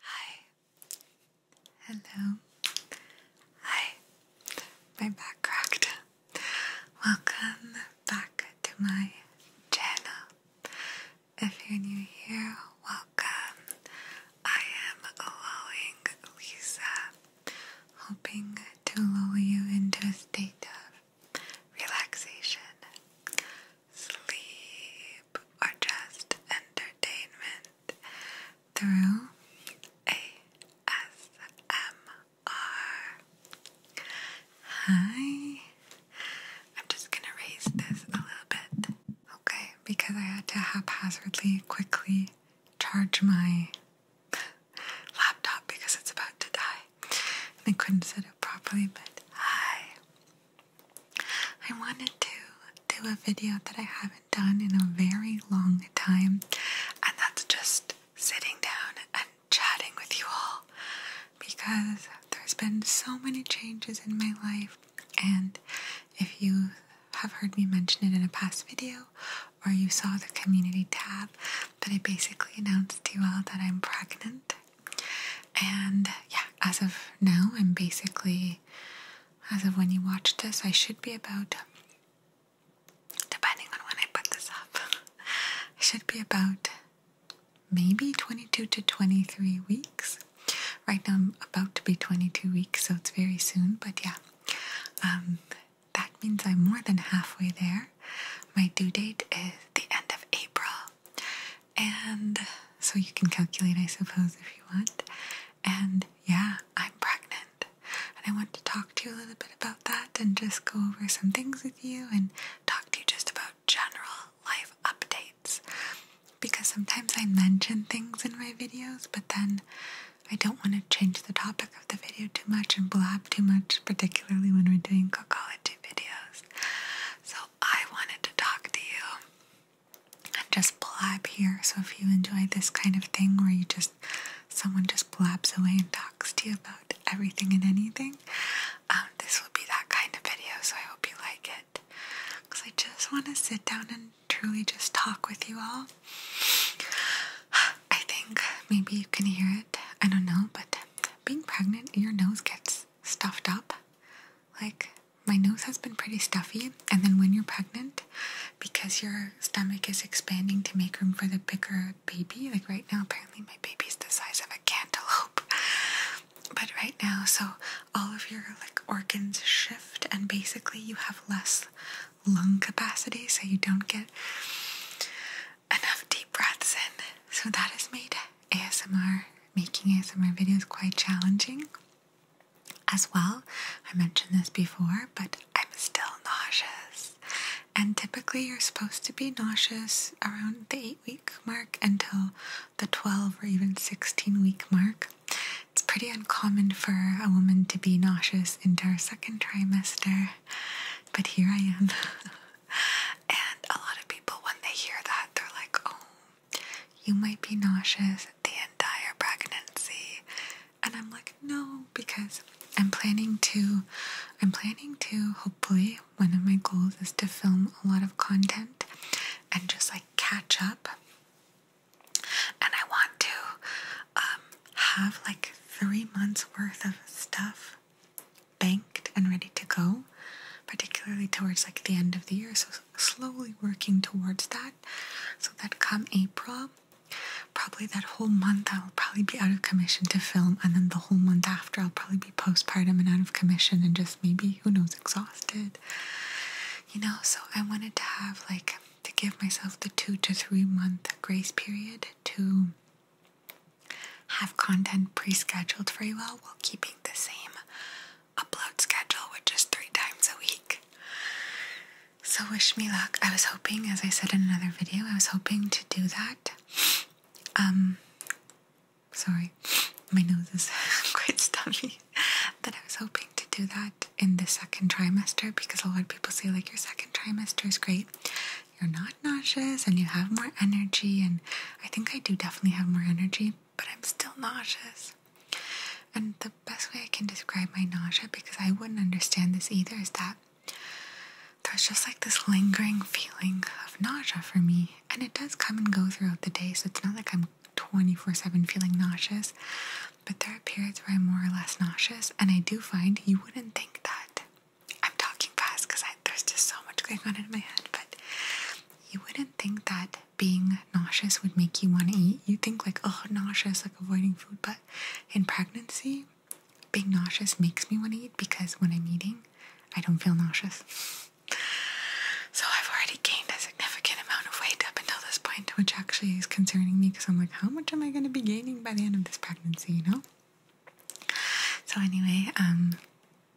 Hi. Hello. Hi. My back cracked. Welcome back to my channel. If you're new here, welcome. I am allowing Lisa, hoping to lull you into a state of relaxation, sleep, or just entertainment through ASMR. Hi. I'm just gonna raise this a little bit, okay? Because I had to haphazardly quickly charge my laptop because it's about to die. And I couldn't set it properly, but hi. I wanted to do a video that I haven't done in a very long time, and that's just sitting down and chatting with you all because there's been so many changes in my life, and if you have heard me mention it in a past video or you saw the community tab, that I basically announced to you all that I'm pregnant and yeah, as of now, I'm basically, as of when you watch this, I should be about, depending on when I put this up, should be about maybe 22 to 23 weeks. Right now, I'm about to be 22 weeks, so it's very soon, but yeah. Um, that means I'm more than halfway there. My due date is the end of April. And so you can calculate, I suppose, if you want. And yeah, I'm pregnant. And I want to talk to you a little bit about that and just go over some things with you and talk to you just about general life updates. Because sometimes I mention things in my videos, but then I don't want to change the topic of the video too much and blab too much, particularly when we're doing cookology videos. So I wanted to talk to you and just blab here. So if you enjoy this kind of thing where you just someone just blabs away and talks to you about everything and anything, um, this will be that kind of video. So I hope you like it because I just want to sit down and truly just talk with you all. I think maybe you can hear it. I don't know, but being pregnant, your nose gets stuffed up. Like my nose has been pretty stuffy, and then when you're pregnant, because your stomach is expanding to make room for the bigger baby, like right now, apparently my baby's the size of a cantaloupe. But right now, so all of your like organs shift, and basically you have less lung capacity, so you don't get enough deep breaths in. So that is has made ASMR, making ASMR videos quite challenging as well. I mentioned this before, but I'm still nauseous. And typically, you're supposed to be nauseous around the 8 week mark until the 12 or even 16 week mark. It's pretty uncommon for a woman to be nauseous into her second trimester, but here I am. and a lot of people, when they hear that, they're like, oh you might be nauseous the entire pregnancy. And I'm like, no, because I'm planning to, I'm planning to, hopefully, one of my goals is to film a lot of content and just like catch up. And I want to um, have like three months worth of stuff. Bang and ready to go, particularly towards like the end of the year. So slowly working towards that, so that come April, probably that whole month I'll probably be out of commission to film, and then the whole month after I'll probably be postpartum and out of commission and just maybe who knows exhausted. You know, so I wanted to have like to give myself the two to three month grace period to have content pre scheduled for you all, while keeping the same upload schedule, which is three times a week. So, wish me luck. I was hoping, as I said in another video, I was hoping to do that. Um, sorry, my nose is quite stuffy. But I was hoping to do that in the second trimester because a lot of people say, like, your second trimester is great. You're not nauseous and you have more energy. And I think I do definitely have more energy but I'm still nauseous. And the best way I can describe my nausea, because I wouldn't understand this either, is that there's just like this lingering feeling of nausea for me. And it does come and go throughout the day, so it's not like I'm 24 7 feeling nauseous, but there are periods where I'm more or less nauseous, and I do find you wouldn't think that. I'm talking fast because there's just so much going on in my head, but you wouldn't think that being nauseous would make you want to eat. You think like, oh, nauseous, like avoiding food. But in pregnancy, being nauseous makes me want to eat because when I'm eating, I don't feel nauseous. So I've already gained a significant amount of weight up until this point, which actually is concerning me because I'm like, how much am I going to be gaining by the end of this pregnancy, you know? So anyway, um,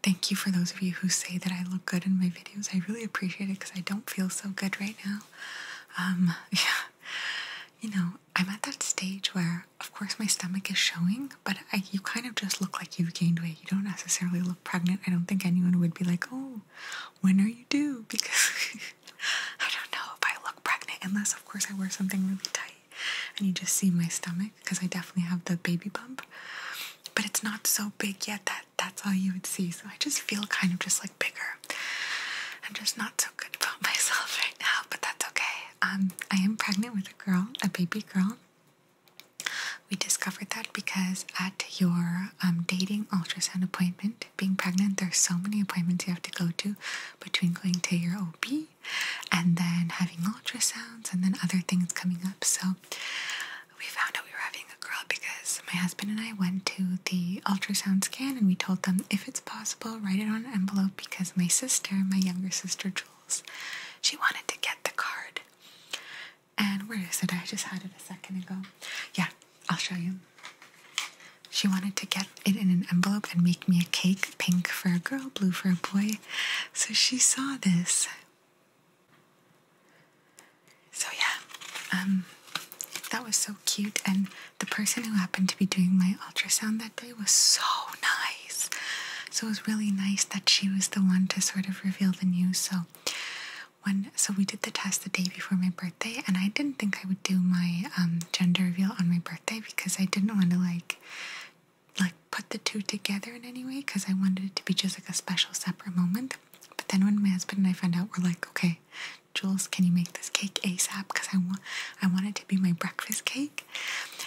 Thank you for those of you who say that I look good in my videos. I really appreciate it because I don't feel so good right now. Um, yeah, you know, I'm at that stage where, of course, my stomach is showing, but I, you kind of just look like you've gained weight. You don't necessarily look pregnant. I don't think anyone would be like, oh, when are you due? Because I don't know if I look pregnant unless, of course, I wear something really tight and you just see my stomach because I definitely have the baby bump. But it's not so big yet that that's all you would see. So I just feel kind of just like bigger. I'm just not so good about myself right now, but that's okay. Um, I am pregnant with a girl, a baby girl. We discovered that because at your um, dating ultrasound appointment, being pregnant, there's so many appointments you have to go to between going to your OB and then having ultrasounds and then other things coming up. So we found out we were having a girl because my husband and I went to the ultrasound scan and we told them if it's possible, write it on an envelope because my sister, my younger sister Jules, she wanted to get the card. And where is it? I just had it a second ago. Yeah, I'll show you. She wanted to get it in an envelope and make me a cake pink for a girl, blue for a boy. So she saw this so yeah, um, that was so cute, and the person who happened to be doing my ultrasound that day was so nice. So it was really nice that she was the one to sort of reveal the news. So when so we did the test the day before my birthday, and I didn't think I would do my um, gender reveal on my birthday because I didn't want to like like put the two together in any way because I wanted it to be just like a special separate moment. But then when my husband and I found out, we're like, okay, Jules, can you make this cake ASAP? Because I want I want it to be my breakfast cake.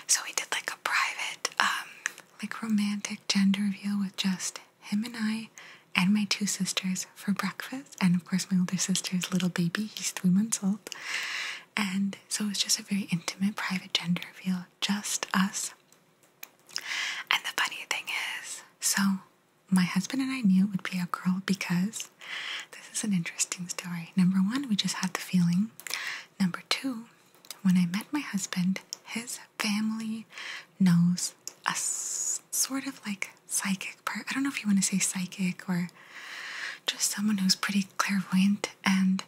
So we did like a private, um, like romantic gender reveal with just him and I and my two sisters for breakfast. And of course my older sister's little baby, he's three months old. And so it was just a very intimate private gender reveal, just us and the funny thing is, so my husband and I knew it would be a girl because this is an interesting story. Number one, we just had the feeling. Number two, when I met my husband, his family knows a sort of like psychic part. I don't know if you want to say psychic or just someone who's pretty clairvoyant. And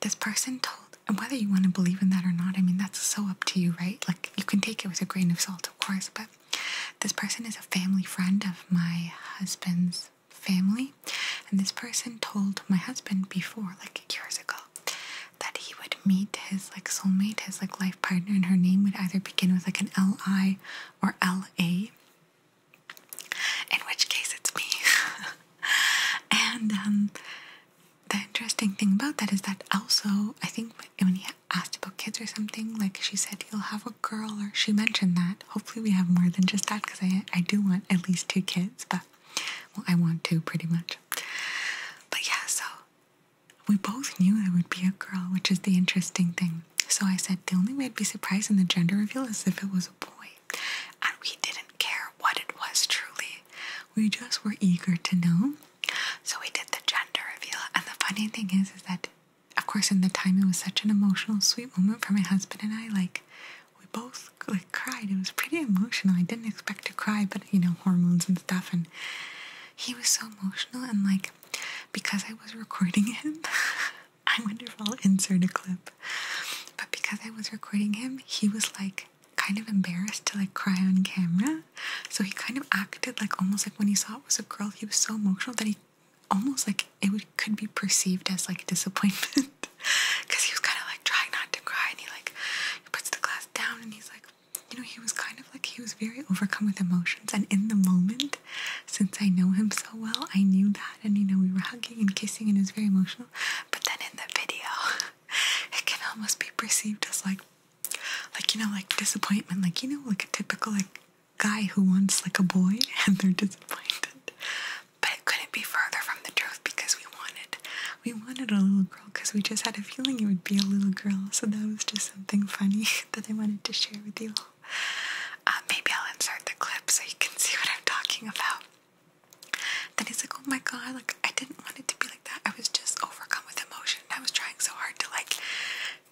this person told and whether you want to believe in that or not, I mean that's so up to you, right? Like you can take it with a grain of salt, of course, but this person is a family friend of my husband's family, and this person told my husband before, like years ago, that he would meet his like soulmate, his like life partner, and her name would either begin with like an L I or L A. In which case it's me. and um the interesting thing about that is that also I think when he asked about kids or something, like she said you'll have a girl, or she mentioned that. Hopefully, we have more than just that because I I do want at least two kids, but well, I want two pretty much. But yeah, so we both knew there would be a girl, which is the interesting thing. So I said the only way I'd be surprised in the gender reveal is if it was a boy and we didn't care what it was truly. We just were eager to know. So we did the gender reveal, and the funny thing is, is that of course in the time it was such an emotional, sweet moment for my husband and I. Like we both like cried. It was pretty emotional. I didn't expect to cry, but you know hormones and stuff, and he was so emotional. And like because I was recording him, I wonder if I'll insert a clip. But because I was recording him, he was like kind of embarrassed to like cry on camera. So he kind of acted like almost like when he saw it was a girl, he was so emotional that he almost like it could be perceived as like disappointment. Cause he was kinda like trying not to cry and he like he puts the glass down and he's like you know, he was kind of like he was very overcome with emotions and in the moment, since I know him so well, I knew that and you know we were hugging and kissing and it was very emotional but then in the video it can almost be perceived as like like you know like disappointment like you know like a typical like guy who wants like a boy and they're disappointed but it couldn't be further from the truth because we wanted we wanted a little girl because we just had a feeling it would be a little girl so that was just something funny that I wanted to share with you uh, maybe I'll insert the clip so you can see what I'm talking about then he's like, oh my god, like I didn't want it to be like that. I was just overcome with emotion. I was trying so hard to like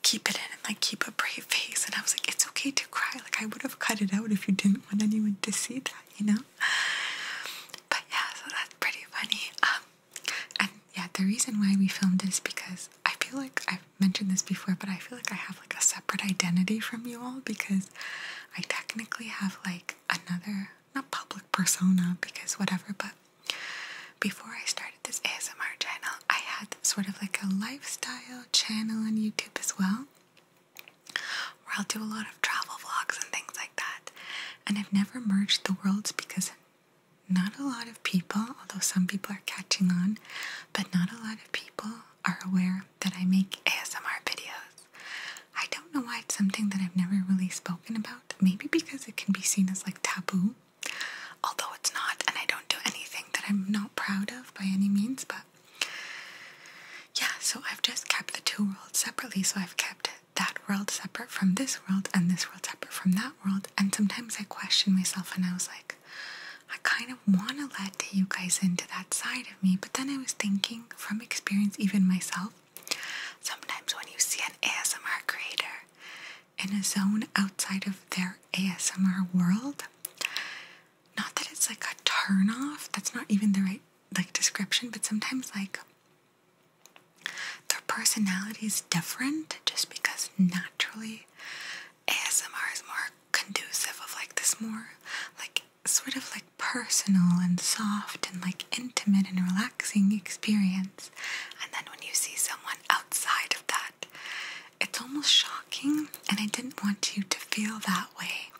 keep it in and like keep a brave face. And I was like, it's okay to cry. Like I would have cut it out if you didn't want anyone to see that, you know? But yeah, so that's pretty funny. Um and yeah, the reason why we filmed this because I feel like I've mentioned this before, but I feel like I have like a separate identity from you all because I technically have like another, not public persona because whatever, but before I started this ASMR channel, I had sort of like a lifestyle channel on YouTube as well, where I'll do a lot of travel vlogs and things like that. And I've never merged the worlds because not a lot of people, although some people are catching on, but not a lot of people are aware that I make ASMR videos. I don't know why it's something that I've never really spoken about. Maybe because it can be seen as like taboo, although it's not, and I don't do anything that I'm not proud of by any means, but yeah, so I've just kept the two worlds separately. So I've kept that world separate from this world and this world separate from that world. And sometimes I question myself and I was like, I kind of want to let you guys into that side of me. But then I was thinking, from experience, even myself, sometimes when you see an ASMR creator in a zone outside of their ASMR world, not that it's like a turn off, that's not even the right like description, but sometimes like their personality is different just because naturally ASMR is more conducive of like this more like sort of like personal and soft and like intimate and relaxing experience. And then when you see someone outside of that, it's almost shocking, and I didn't want you to feel that way.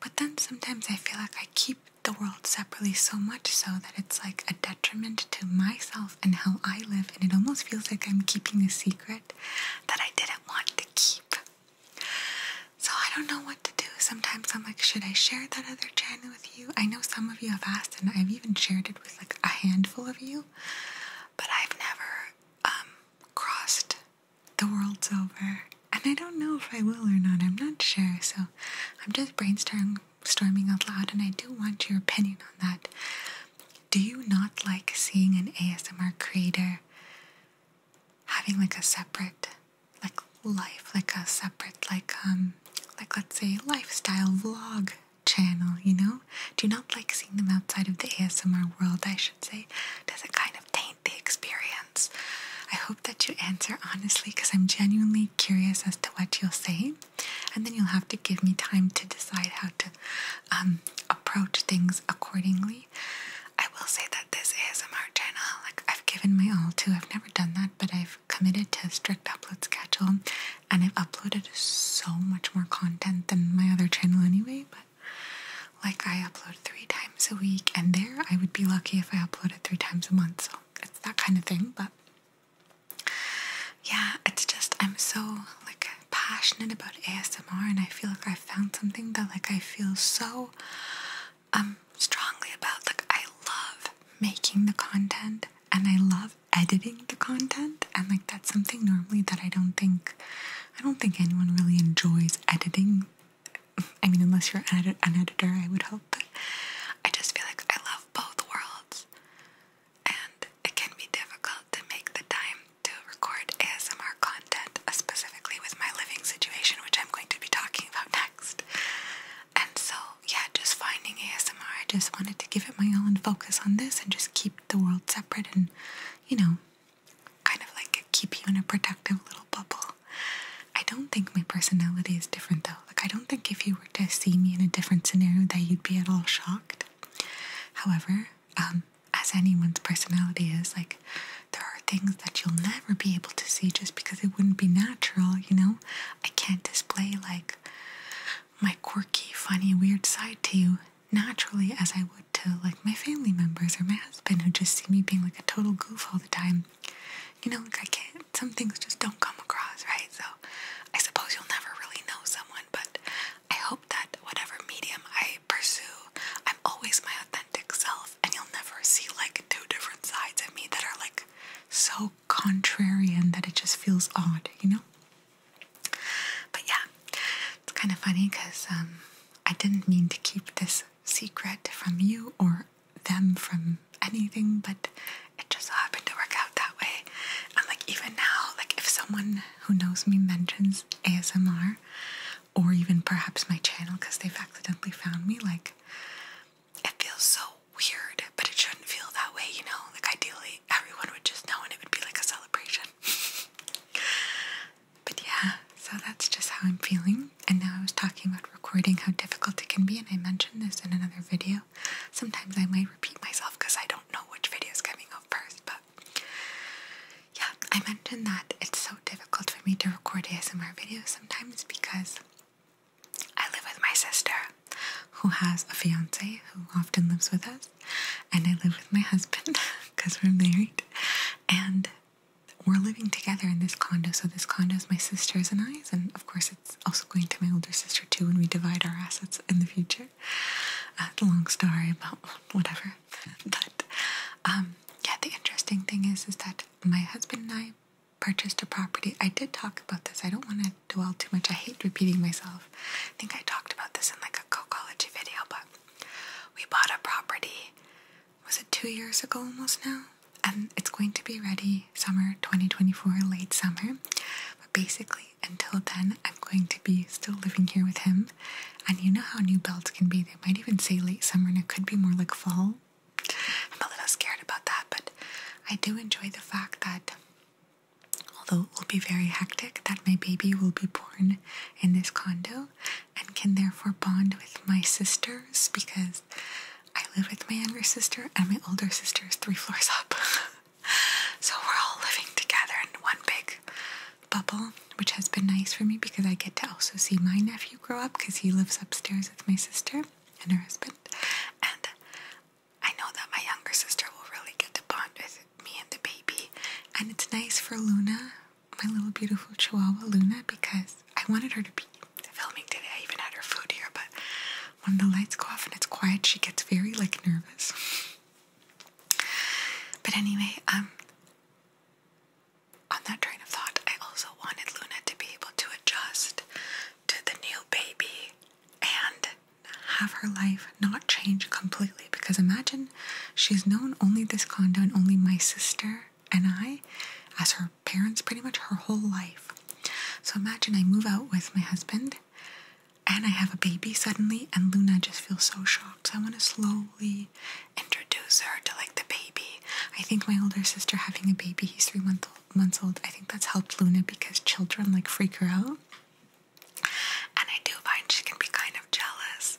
But then sometimes I feel like I keep the world separately so much so that it's like a detriment to myself and how I live, and it almost feels like I'm keeping a secret that I didn't want to keep. So I don't know what to do. Sometimes I'm like, should I share that other channel with you? I know some of you have asked, and I've even shared it with like a handful of you, but I've never um, crossed the worlds over. And I don't know if I will or not. I'm not sure. So I'm just brainstorming out loud, and I do want your opinion on that. Do you not like seeing an ASMR creator having like a separate like life, like a separate like um like let's say lifestyle vlog channel, you know? Do not like seeing them outside of the ASMR world, I should say? Does it kind of taint the experience? I hope that you answer honestly because I'm genuinely curious as to what you'll say. And then you'll have to give me time to decide how to um, approach things accordingly. I will say that this ASMR channel, like I've given my all to. I've never done that, but I've committed to a strict upload schedule and I've uploaded so much more content than my other channel anyway, but like I upload three times a week and there I would be lucky if I uploaded three times a month, so it's that kind of thing, but yeah, it's just I'm so like passionate about ASMR and I feel like I found something that like I feel so I'm um, strongly about. Like I love making the content and I love editing the content and like that's something normally that I don't think I don't think anyone really enjoys editing. I mean unless you're an, an editor I would hope but I just feel like I love both worlds and it can be difficult to make the time to record ASMR content, uh, specifically with my living situation, which I'm going to be talking about next. And so, yeah, just finding ASMR, I just wanted to give it my all and focus on this and just keep the world separate and, you know, kind of like keep you in a protective little bubble. I don't think my personality is different though. Like, I don't think if you were to see me in a different scenario that you'd be at all shocked. However, um, as anyone's personality is. Like, there are things that you'll never be able to see just because it wouldn't be natural, you know? I can't display, like, my quirky, funny, weird side to you naturally as I would to, like, my family members or my husband who just see me being, like, a total goof all the time. You know, like, I can't, some things just don't come across, right? So, I suppose you'll never really know someone, but I hope that whatever medium I I pursue. I'm always my authentic self, and you'll never see like two different sides of me that are like so contrarian that it just feels odd, you know? But yeah, it's kind of funny because um, I didn't mean to keep this secret from you or them from anything, but it just happened to work out that way. And like, even now, like, if someone who knows me mentions ASMR, or even perhaps my channel because they've accidentally found me. Like, it feels so weird, but it shouldn't feel that way, you know? Like, ideally, everyone would just know and it would be like a celebration. but yeah, so that's just how I'm feeling. And now I was talking about recording how difficult it can be, and I mentioned this in another video. Sometimes I might repeat myself because I don't know which video is coming up first, but yeah, I mentioned that it's so difficult for me to record ASMR videos sometimes because I live with my sister who has a fiance who often lives with us, and I live with my husband because we're married, and we're living together in this condo. So, this condo is my sister's and I's, and of course, it's also going to my older sister too when we divide our assets in the future. Uh, a long story about whatever, but um, yeah, the interesting thing is, is that my husband and I purchased a property. I did talk about this. I don't want to dwell too much. I hate repeating myself. I think I talked about this in like a co-college video, but we bought a property. Was it two years ago almost now? And it's going to be ready summer 2024, late summer. But basically, until then, I'm going to be still living here with him. And you know how new belts can be. They might even say late summer and it could be more like fall. I'm a little scared about that, but I do enjoy the fact that although it will be very hectic, that my baby will be born in this condo and can therefore bond with my sisters because I live with my younger sister and my older sister is three floors up. so we're all living together in one big bubble, which has been nice for me because I get to also see my nephew grow up because he lives upstairs with my sister and her husband. And I know that my younger sister will really get to bond with me and the baby. And it's nice for Luna, my little beautiful chihuahua Luna, because I wanted her to be filming today. I even had her food here, but when the lights go off and it's quiet, she gets very like nervous. But anyway, um on that train of thought, I also wanted Luna to be able to adjust to the new baby and have her life not change completely. Because imagine she's known only this condo and only my sister and I as her parents pretty much her whole life. So imagine I move out with my husband and I have a baby suddenly, and Luna just feels so shocked. So I want to slowly introduce her to like the baby. I think my older sister having a baby, he's three months old. I think that's helped Luna because children like freak her out. And I do find she can be kind of jealous.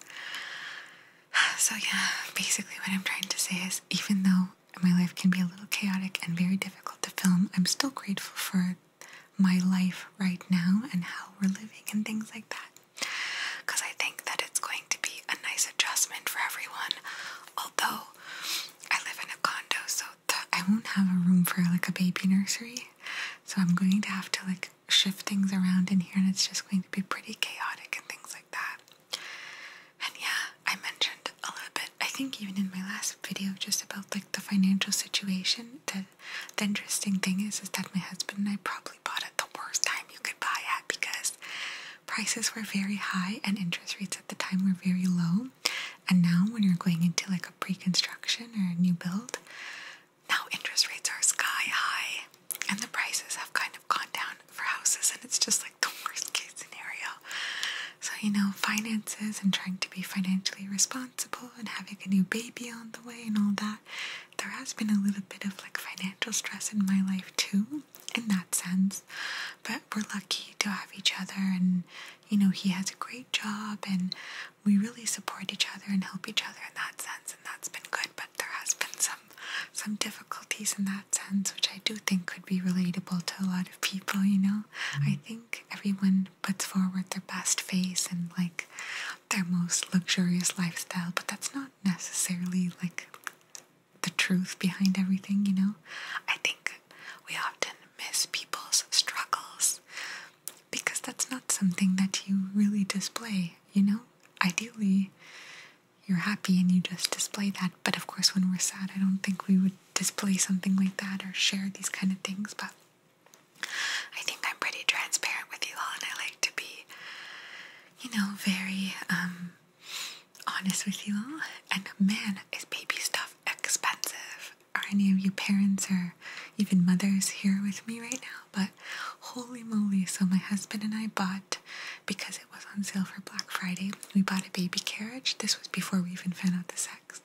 So, yeah, basically, what I'm trying to say is even though my life can be a little chaotic and very difficult to film, I'm still grateful for my life right now and how we're living and things like that because I think that it's going to be a nice adjustment for everyone. Although I live in a condo, so I won't have a room for like a baby nursery, so I'm going to have to like shift things around in here, and it's just going to be pretty chaotic and things like that. And yeah, I mentioned a little bit, I think even in my last video, just about like the financial situation that. The interesting thing is, is that my husband and I probably bought it the worst time you could buy at because prices were very high and interest rates at the time were very low. And now, when you're going into like a pre-construction or a new build, now interest rates are sky high, and the prices have kind of gone down for houses, and it's just like the worst case scenario. So, you know, finances and trying to be financially responsible and having a new baby on the way and all that there has been a little bit of like financial stress in my life too, in that sense. But we're lucky to have each other, and you know, he has a great job, and we really support each other and help each other in that sense, and that's been good. But there has been some some difficulties in that sense, which I do think could be relatable to a lot of people. You know, mm-hmm. I think everyone puts forward their best face and like their most luxurious lifestyle, but that's not necessarily like the truth behind everything, you know? I think we often miss people's struggles because that's not something that you really display, you know? Ideally, you're happy and you just display that, but of course, when we're sad, I don't think we would display something like that or share these kind of things, but I think I'm pretty transparent with you all, and I like to be, you know, very um, honest with you all. And man, is baby stuff expensive. Are any of you parents or even mothers here with me right now? But holy moly, so my husband and I bought, because it was on sale for Black Friday, we bought a baby carriage. This was before we even found out the sex.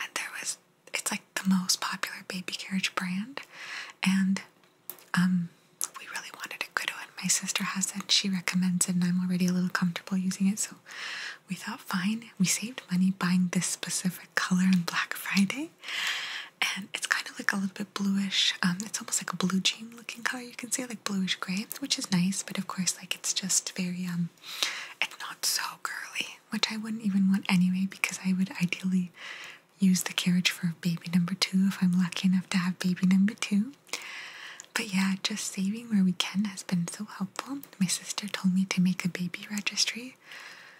And there was, it's like the most popular baby carriage brand. And um, we really wanted a good one. My sister has it, she recommends it, and I'm already a little comfortable using it, so we thought, fine, we saved money buying this specific color on Black Friday. And it's kind of like a little bit bluish. Um, it's almost like a blue jean looking color. You can see like bluish gray, which is nice. But of course, like it's just very um, it's not so girly, which I wouldn't even want anyway because I would ideally use the carriage for baby number two if I'm lucky enough to have baby number two. But yeah, just saving where we can has been so helpful. My sister told me to make a baby registry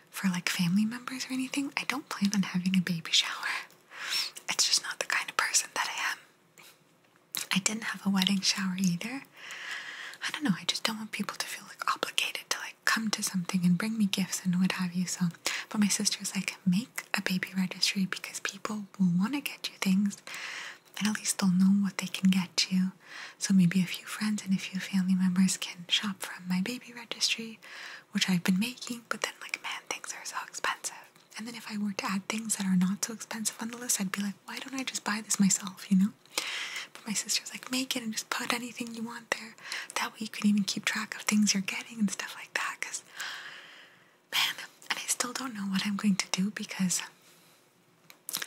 for like family members or anything. I don't plan on having a baby shower, it's just not the kind of person that I am. I didn't have a wedding shower either. I don't know, I just don't want people to feel like obligated to like come to something and bring me gifts and what have you. So, but my sister's like, make a baby registry because people will want to get you things, and at least they'll know what they can get you. So maybe a few friends and a few family members can shop from my baby registry, which I've been making. But then, like, man, things are so expensive. And then if I were to add things that are not so expensive on the list, I'd be like, why don't I just buy this myself, you know? But my sister's like, make it and just put anything you want there. That way you can even keep track of things you're getting and stuff like that. Because, man, and I still don't know what I'm going to do because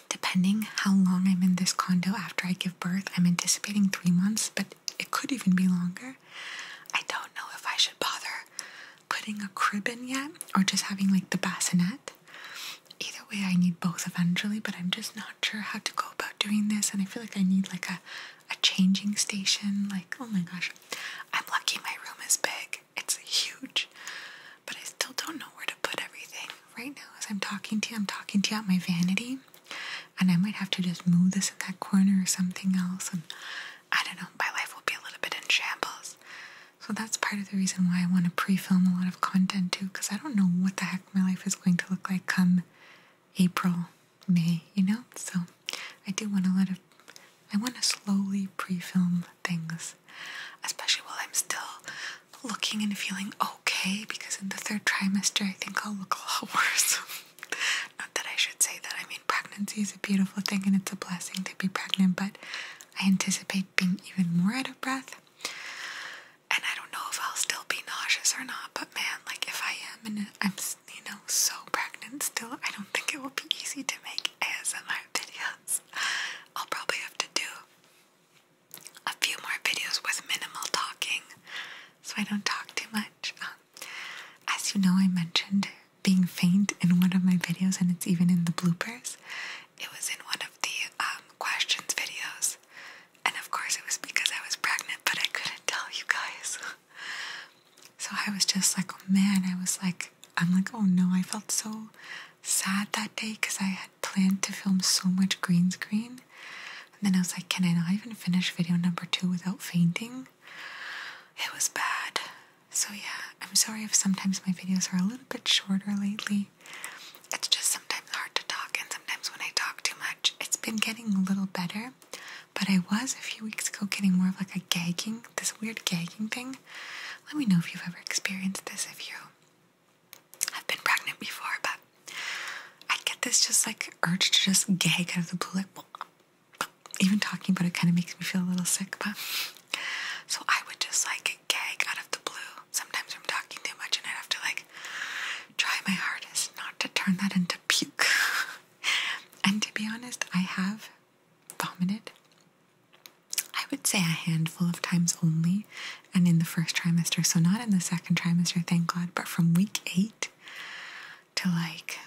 depending how long I'm in this condo after I give birth, I'm anticipating three months, but it could even be longer. I don't know if I should bother putting a crib in yet or just having like the bassinet. Either way, I need both eventually, but I'm just not sure how to go about doing this. And I feel like I need like a a changing station. Like, oh my gosh, I'm lucky my room is big, it's huge, but I still don't know where to put everything. Right now, as I'm talking to you, I'm talking to you out my vanity, and I might have to just move this in that corner or something else. And I don't know, my life will be a little bit in shambles. So that's part of the reason why I want to pre film a lot of content too, because I don't know what the heck my life is going to look like come April me, you know? So I do want a lot of. I want to slowly pre film things, especially while I'm still looking and feeling okay, because in the third trimester, I think I'll look a lot worse. Not that I should say that. I mean, pregnancy is a beautiful thing and it's a blessing to be pregnant, but I anticipate being even more out of breath and I don't know if I'll still be nauseous or not, but man, like if I am and I'm, you know, so pregnant still, I don't think it will be easy to make ASMR videos. I'll probably have to do a few more videos with minimal talking so I don't talk too much. Um, as you know, I mentioned being faint in one of my videos, and it's even in the bloopers. It was in one of the um, questions videos. And of course, it was because I was pregnant, but I couldn't tell you guys. so I was just like, oh man, I was like, I'm like, oh no, I felt so sad that day because I had planned to film so much green screen. And then I was like, can I not even finish video number two without fainting? It was bad. So, yeah, I'm sorry if sometimes my videos are a little bit shorter lately. It's just sometimes hard to talk and sometimes when I talk too much. It's been getting a little better, but I was a few weeks ago getting more of like a gagging, this weird gagging thing. Let me know if you've ever experienced this, if you have been pregnant before, but I get this just like urge to just gag out of the blue. Like, even talking about it kind of makes me feel a little sick, but so I would just like gag out of the blue sometimes I'm talking too much and I'd have to like try my hardest not to turn that into puke. and to be honest, I have vomited. I would say a handful of times only, and in the first trimester, so not in the second trimester, thank God, but from week eight to like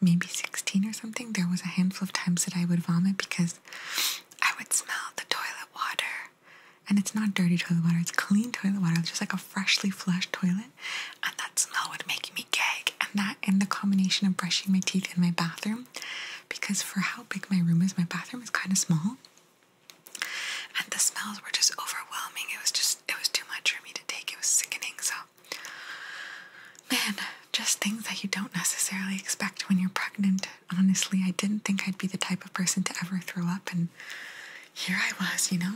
maybe 16 or something, there was a handful of times that I would vomit because I would smell the toilet water and it's not dirty toilet water, it's clean toilet water, it's just like a freshly flushed toilet. And that smell would make me gag. And that and the combination of brushing my teeth in my bathroom, because for how big my room is, my bathroom is kind of small. And the smells were just overwhelming. It was just it was too much for me to take. It was sickening. So man, just things that you don't necessarily expect when you're pregnant. Honestly, I didn't think I'd be the type of person to ever throw up and here I was, you know?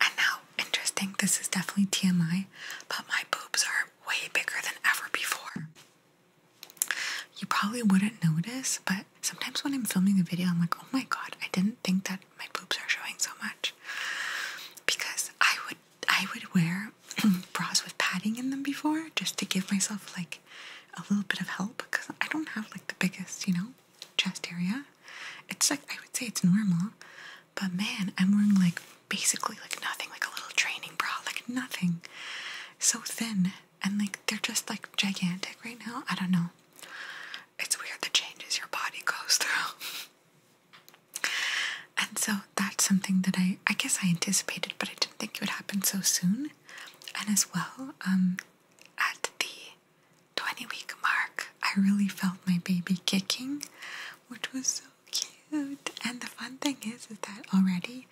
And now, interesting, this is definitely TMI, but my boobs are way bigger than ever before. You probably wouldn't notice, but sometimes when I'm filming the video, I'm like, oh my god, I didn't think that my boobs are showing so much. Because I would I would wear bras with padding in them before just to give myself like a little bit of help because I don't have like the biggest, you know? chest area. It's like, I would say it's normal, but man, I'm wearing like basically like nothing, like a little training bra, like nothing. So thin, and like they're just like gigantic right now. I don't know. It's weird the changes your body goes through. and so that's something that I, I guess I anticipated, but I didn't think it would happen so soon. And as well, um, at the 20 week mark, I really felt my baby kicking, which was so cute. And the fun thing is, is that already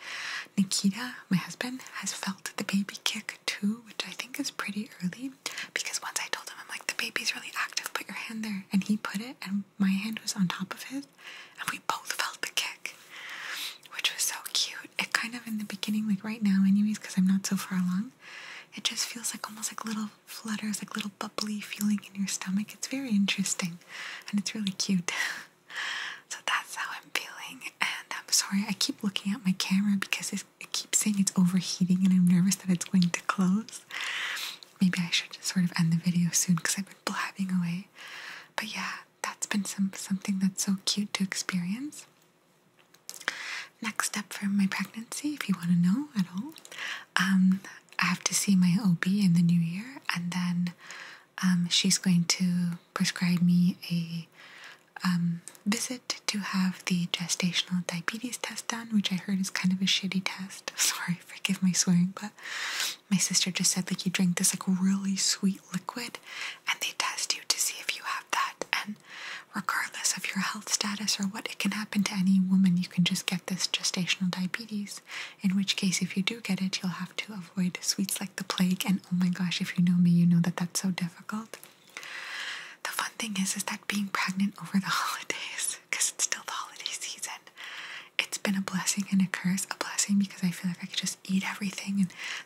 Nikita, my husband, has felt the baby kick too, which I think is pretty early because once I told him, I'm like, the baby's really active, put your hand there. And he put it, and my hand was on top of his, and we both felt the kick which was so cute. It kind of in the beginning, like right now, anyways, because I'm not so far along, it just feels like almost like little flutters, like little bubbly feeling in your stomach. It's very interesting and it's really cute. so that's how I'm feeling. And I'm sorry, I keep looking at my camera because it keeps saying it's overheating and I'm nervous that it's going to close. Maybe I should sort of end the video soon because I've been blabbing away. But yeah, that's been some something that's so cute to experience. Next step for my pregnancy, if you want to know at all, um, I have to see my OB in the new year, and then um, she's going to prescribe me a um, visit to have the gestational diabetes test done, which I heard is kind of a shitty test. Sorry, forgive my swearing, but my sister just said like you drink this like really sweet liquid, and they test you to see if you have that, and regardless of your health status or what. It can happen to any woman. You can just get this gestational diabetes, in which case, if you do get it, you'll have to avoid sweets like the plague. And oh my gosh, if you know me, you know that that's so difficult. The fun thing is, is that being pregnant over the holidays, because it's still the holiday season, it's been a blessing and a curse. A blessing because I feel like I could just eat everything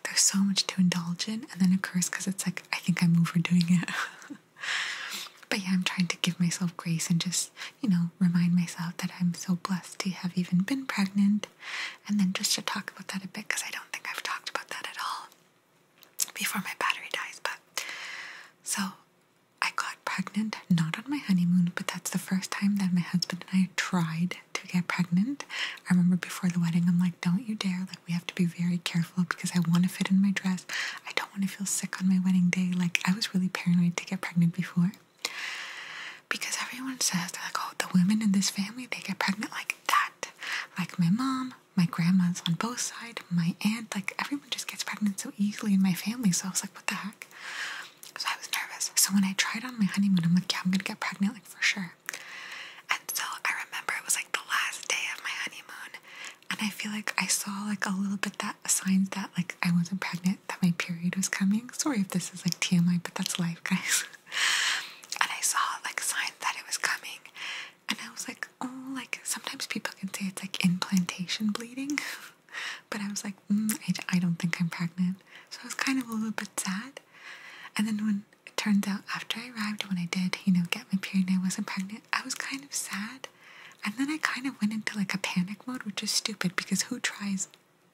there's so much to indulge in and then it occurs because it's like I think I'm overdoing it. but yeah, I'm trying to give myself grace and just, you know, remind myself that I'm so blessed to have even been pregnant and then just to talk about that a bit because I don't think I've talked about that at all before my battery dies, but so I got pregnant not on my honeymoon, but that's the first time that my husband and I tried to get pregnant. I remember before the wedding, I'm like, don't you dare. Like, we have to be very careful because I want to fit in my dress. I don't want to feel sick on my wedding day. Like, I was really paranoid to get pregnant before because everyone says, they're like, oh, the women in this family, they get pregnant like that. Like, my mom, my grandma's on both sides, my aunt, like, everyone just gets pregnant so easily in my family. So I was like, what the heck? So I was nervous. So when I tried on my honeymoon, I'm like, yeah, I'm gonna get pregnant, like for sure. And so I remember it was like the last day of my honeymoon, and I feel like I saw like a little bit that signs that like I wasn't pregnant, that my period was coming. Sorry if this is like TMI, but that's life, guys. and I saw like signs that it was coming, and I was like, oh, like sometimes people can say it's like implantation bleeding, but I was like, mm, I don't think I'm pregnant. So I was kind of a little bit sad. And then when it turns out after I arrived, when I did, you know, get my period and I wasn't pregnant, I was kind of sad. And then I kind of went into like a panic mode, which is stupid because who tries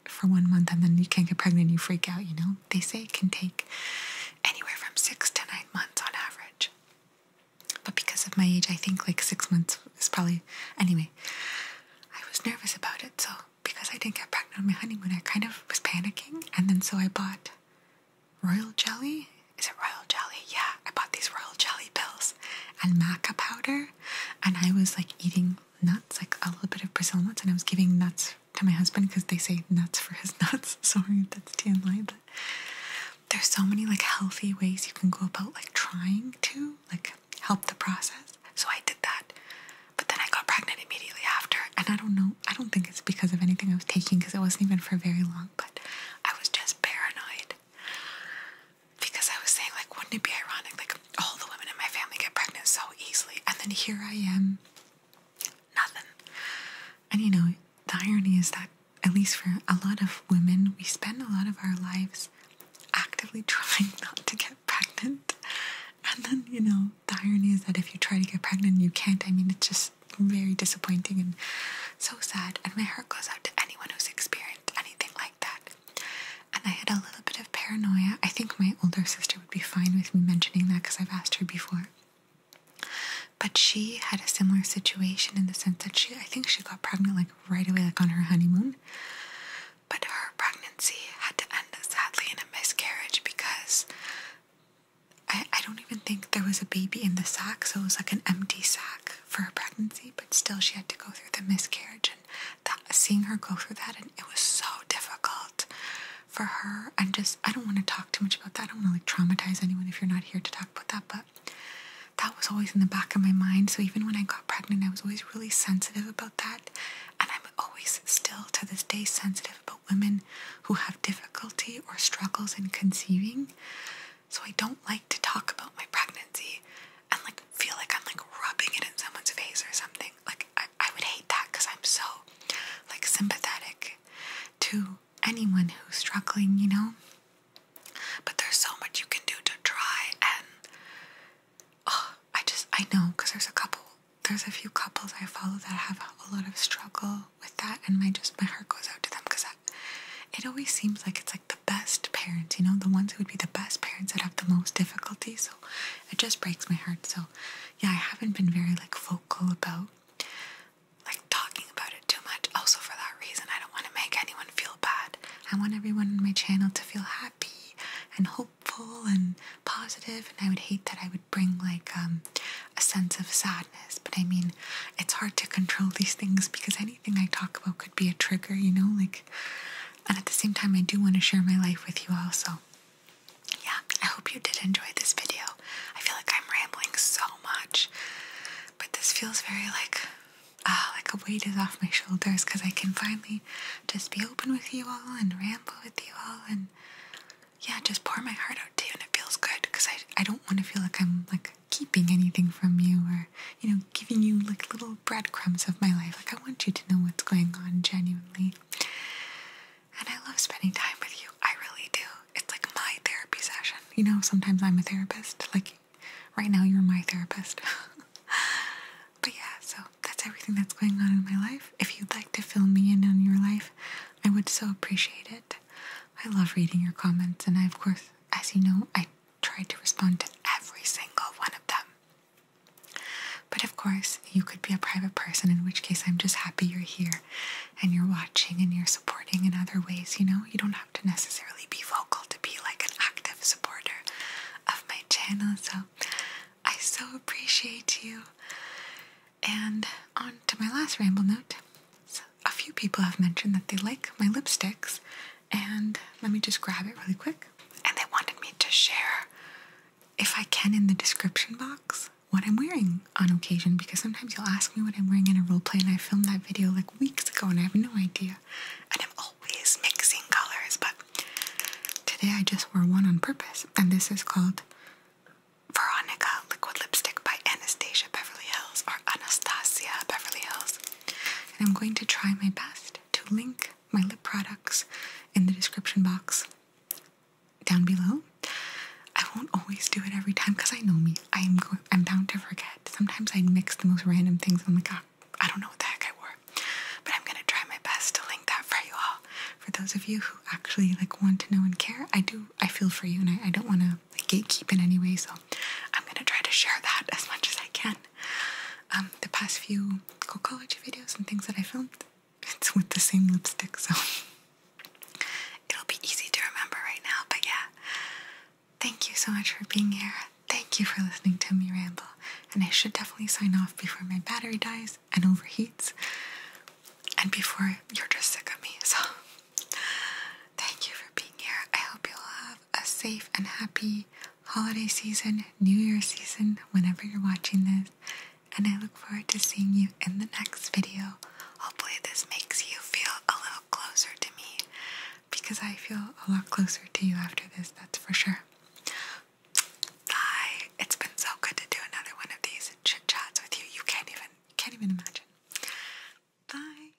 for one month and then you can't get pregnant and you freak out, you know? They say it can take anywhere from six to nine months on average. But because of my age, I think like six months is probably. Anyway, I was nervous about it, so because I didn't get pregnant on my honeymoon, I kind of was panicking. And then so I bought royal jelly. Is it royal jelly? Yeah, I bought these royal jelly pills and maca powder. And I was like eating nuts, like a little bit of Brazil nuts. And I was giving nuts to my husband because they say nuts for his nuts. Sorry that's TMI, but there's so many like healthy ways you can go about like trying to like help the process. So I did that. But then I got pregnant immediately after, and I don't know, I don't think it's because of anything I was taking because it wasn't even for very long, but I was just paranoid. Because I was saying, like, wouldn't it be ironic? Like, all the women in my family get pregnant so easily, and then here I am, nothing. And you know, the irony is that, at least for a lot of women, we spend a lot of our lives actively trying not to get pregnant and then, you know, the irony is that if you try to get pregnant you can't, I mean, it's just very disappointing and so sad. And my heart goes out to anyone who's experienced anything like that. And I had a little bit of paranoia. I think my older sister would be fine with me mentioning that because I've asked her before. But she had a similar situation in the sense that she, I think she got pregnant like right away, like on her honeymoon. But her pregnancy had to end sadly in a miscarriage because I, don't even think there was a baby in the sack, so it was like an empty sack for her pregnancy, but still she had to go through the miscarriage and seeing her go through that and it was so difficult for her and just I don't want to talk too much about that. I don't want to like traumatize anyone if you're not here to talk about that, but that was always in the back of my mind. So even when I got pregnant, I was always really sensitive about that. And I'm always still to this day sensitive about women who have difficulty or struggles in conceiving. So I don't like to talk about my pregnancy and like feel like I'm like rubbing it in someone's face or something. Like I, would hate that because I'm so like sympathetic to anyone who's struggling, you know? But there's so much you can do to try and oh, I just I know because there's a couple there's a few couples I follow that have a lot of struggle with that, and my just my heart goes out to them because it always seems like it's like the best parents, you know, the ones who would be the best parents that have the most difficulty. So it just breaks my heart. So yeah, I haven't been very like vocal about like talking about it too much. Also for that reason, I don't want to make anyone feel bad. I want everyone on my channel to feel happy and hope hopeful and positive, and I would hate that I would bring like um, a sense of sadness. But I mean, it's hard to control these things because anything I talk about could be a trigger, you know? Like, and at the same time, I do want to share my life with you all. So, Yeah, I hope you did enjoy this video. I feel like I'm rambling so much, but this feels very like. Uh, like a weight is off my shoulders because I can finally just be open with you all and ramble with you all and yeah, just pour my heart out to you, and it feels good because I I don't want to feel like I'm like keeping anything from you or you know giving you like little breadcrumbs of my life. Like I want you to know what's going on genuinely. And I love spending time with you. I really do. It's like my therapy session. You know, sometimes I'm a therapist. Like right now, you're my therapist. But yeah, so that's everything that's going on in my life. If you'd like to fill me in on your life, I would so appreciate it. I love reading your comments, and I, of course, as you know, I try to respond to every single one of them. But of course, you could be a private person, in which case I'm just happy you're here and you're watching and you're supporting in other ways, you know? You don't have to necessarily be vocal to be like an active supporter of my channel, so I so appreciate you. And on to my last ramble note. a few people have mentioned that they like my lipsticks, and let me just grab it really quick. And they wanted me to share, if I can, in the description box what I'm wearing on occasion because sometimes you'll ask me what I'm wearing in a role play, and I filmed that video like weeks ago and I have no idea. And I'm always mixing colors, but Today I just wore one on purpose, and this is called Veronica Liquid Lipstick by Anastasia Beverly Hills or Anastasia Beverly Hills. And I'm going to try my best to link my lip products in the description box down below. I won't always do it every time because I know me. I am I'm bound to forget. Sometimes I mix the most random things. I'm like, oh, I don't know what the heck I wore. But I'm gonna try my best to link that for you all. For those of you who actually like want to know and care, I do. I feel for you, and I, don't want to like, gatekeep in any way. So I'm gonna try to share that as much as I can. Um, the past few college videos and things that I filmed, it's with the same lipstick, so it'll be easy to remember right now. But yeah, thank you so much for being here. Thank you for listening to me ramble, and I should definitely sign off before my battery dies and overheats and before you're just sick of me so thank you for being here i hope you'll have a safe and happy holiday season new year season whenever you're watching this and i look forward to seeing you in the next video hopefully this makes you feel a little closer to me because i feel a lot closer to you after this that's for sure Bye. It's been so good to do another one of these chit chats with you. You can't even can't even imagine. Bye.